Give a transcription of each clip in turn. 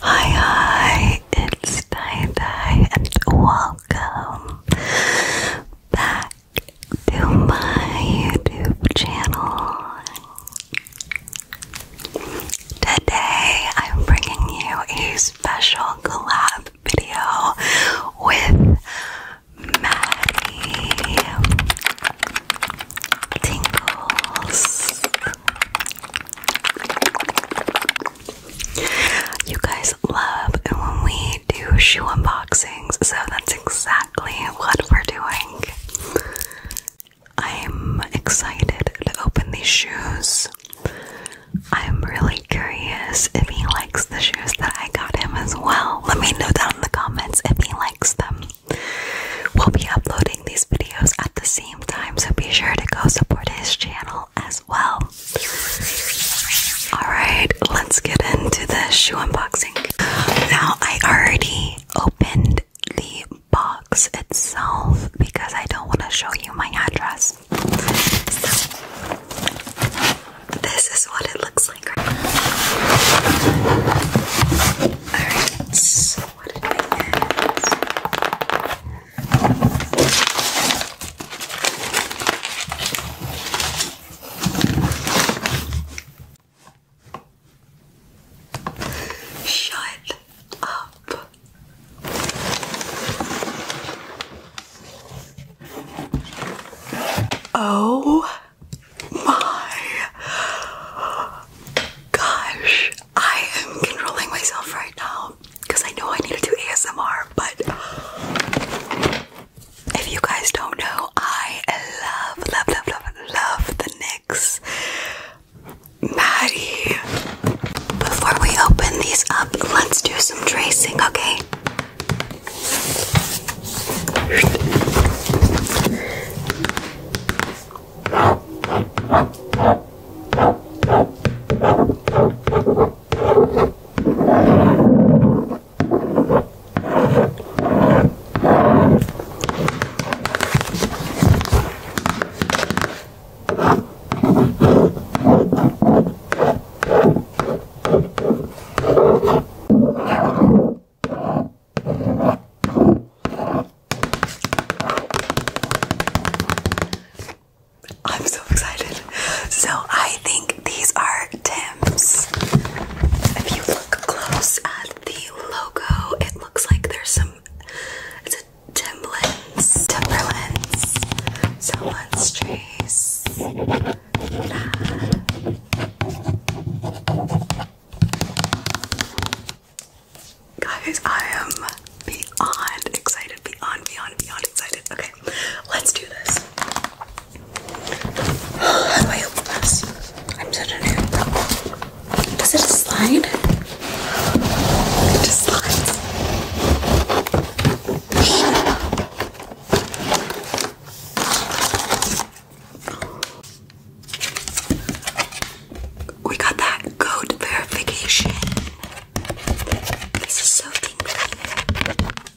Hi, hi, it's Dai and welcome back to my YouTube channel. Today, I'm bringing you a special collab video with Maddie Tingles. You guys love when we do shoe unboxings, so that's exactly what we're doing. I'm excited to open these shoes. I'm really curious if he likes the shoes that I got him as well. Let me know down in the comments if he likes them. We'll be uploading these videos at the same time, so be sure to go support his channel as well. Alright, let's get into the shoe unboxing. Now, I already opened the box itself because I don't want to show you my address. this is what it looks like. Alright, Shut up. Oh my gosh. I am controlling myself right now because I know I need to do ASMR, but if you guys don't know, I love, love, love, love, love the NYX. Maddie. Before we open these up, let's do some tracing, okay? I'm so excited. So I think these are Tim's. If you look close at the logo. It looks like there's some. It's a Timberlands. Timberlands. Someone's trace. Guys, I am beyond excited, beyond, beyond, beyond excited. Okay, let's do this. How do I open this? I'm such a Does it slide? It slides. We got that goat verification. This is so tingly.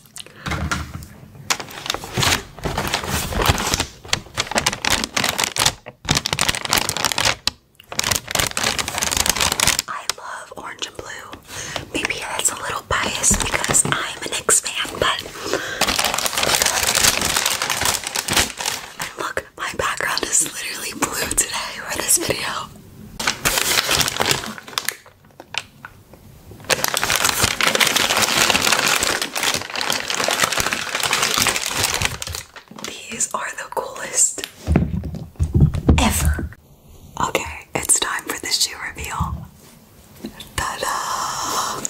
I love orange and blue. Maybe that's a little biased because I'm a Knicks fan, but look, my background is literally blue today for this video. These are the coolest ever. Okay, it's time for the shoe reveal. Ta da!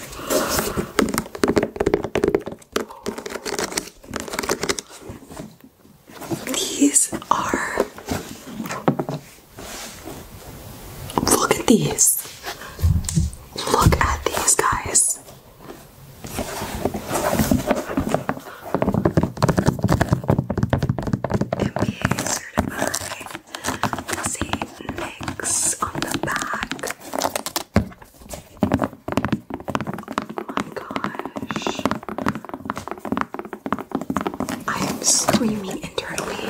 These are Look at these. Look at these guys. NBA certified. See on the back. Oh my gosh. I am screaming internally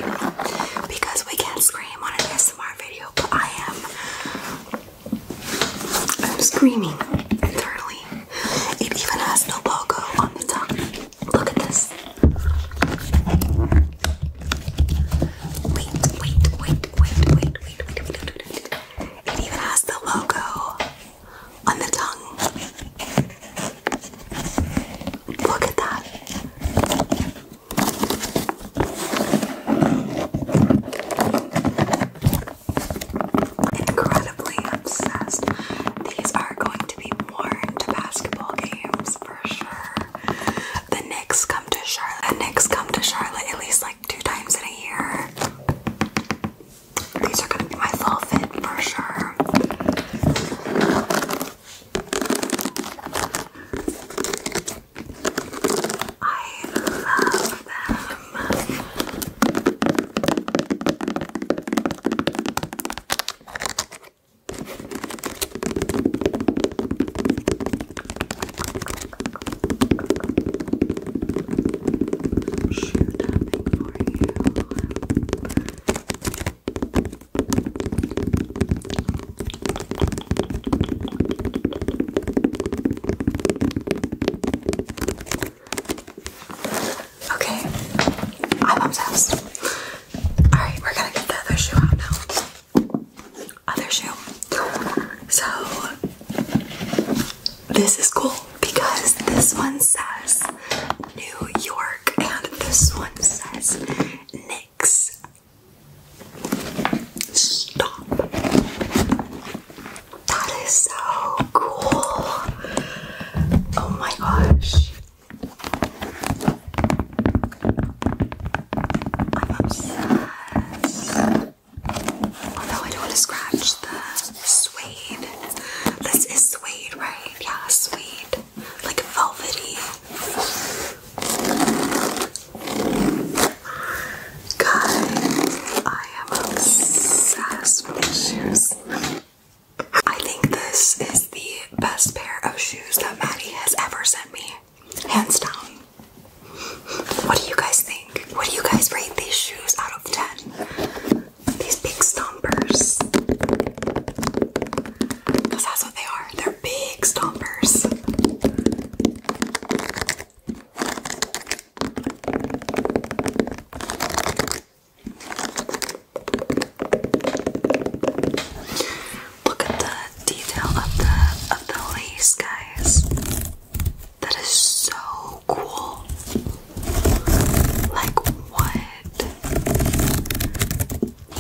because we can't scream on an ASMR video, but I am I'm screaming internally. It even has no logo on the top. Look at this. wait, wait, wait, wait, wait, wait, wait, wait, wait, wait. It even has the logo on the tongue. Look at that. Incredibly obsessed. These are going to be worn to basketball games for sure. The Knicks come to Charlotte. The Knicks come to Charlotte at least like two times in a year. These are gonna be my fall for sure. I love them. Shoot, for you. Okay, I'm obsessed. Alright, we're gonna get the other shoe out now. Other shoe. So, this is cool because this one says New York and this one says Knicks. Stop. That is so cool. Oh my gosh. I'm obsessed. Although I don't want to scratch the suede. This is suede, right? Yeah, suede. Like velvety. Guys, I am obsessed with these shoes. I think this is the best pair of shoes that Maddie has ever sent me. Hands down. What do you guys think? What do you guys rate these shoes out of 10? these big stompers. that's what they are. They're big stompers. Look at the detail of the of the lace, guys. That is so cool. Like, what?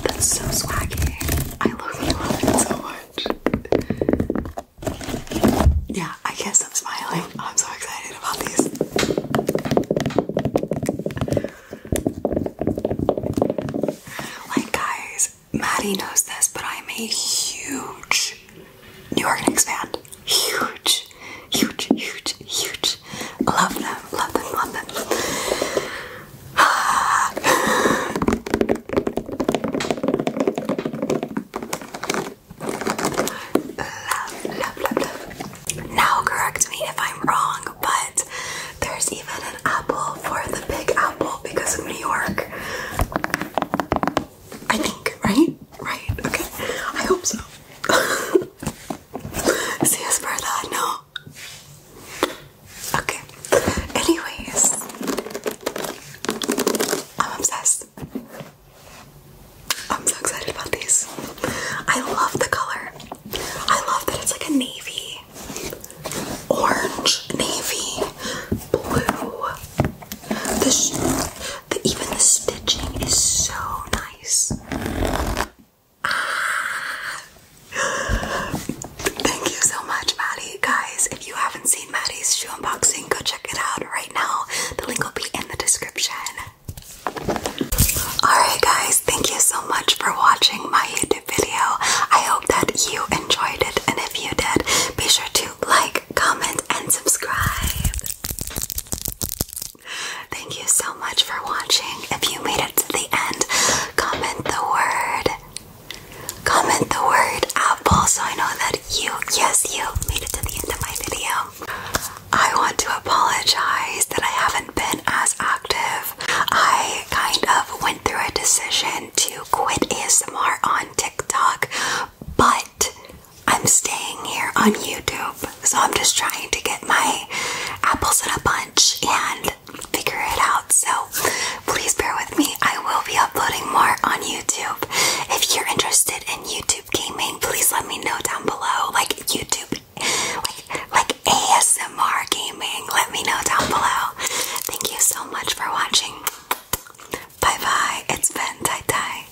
That's so swaggy. I love you, love so much. Yeah, I guess I'm smiling. I'm so excited about these. Like, guys, Maddie knows this, but I'm a huge New York and expand. Huge, huge, huge, huge. Love them, love them, love them. love, love, love, love. Now correct me if I'm wrong, but there's even an apple for the Big Apple because of New York. I think, right? Right, okay. I hope so. See us further, no? Okay. Anyways, I'm obsessed. I'm so excited about these. I love the color. I love that it's like a navy, orange, navy, blue, the, even the stitching is so nice. Ah. Thank you so much, Maddie. Guys, if you haven't seen Maddie's shoe unboxing, go check it out right now. The link will be in the description. Alright, guys, thank you so much for watching my YouTube video. I hope that you enjoyed it, and if you did, be sure to like, comment, and subscribe. Thank you so much for watching. If you made it to the end, comment the word. Comment the word apple so I know that you, yes, you made it to the end of my video. I want to apologize that I haven't been as active. I kind of went through a decision to quit ASMR on TikTok, but I'm staying here on YouTube. So I'm just trying to get my apples in a bunch and figure it out. So please bear with me. I will be uploading more on YouTube. If you're interested in YouTube gaming, please let me know down below. Like YouTube, like ASMR gaming. Let me know down below. Thank you so much for watching. Bye bye. It's been Tai Tai.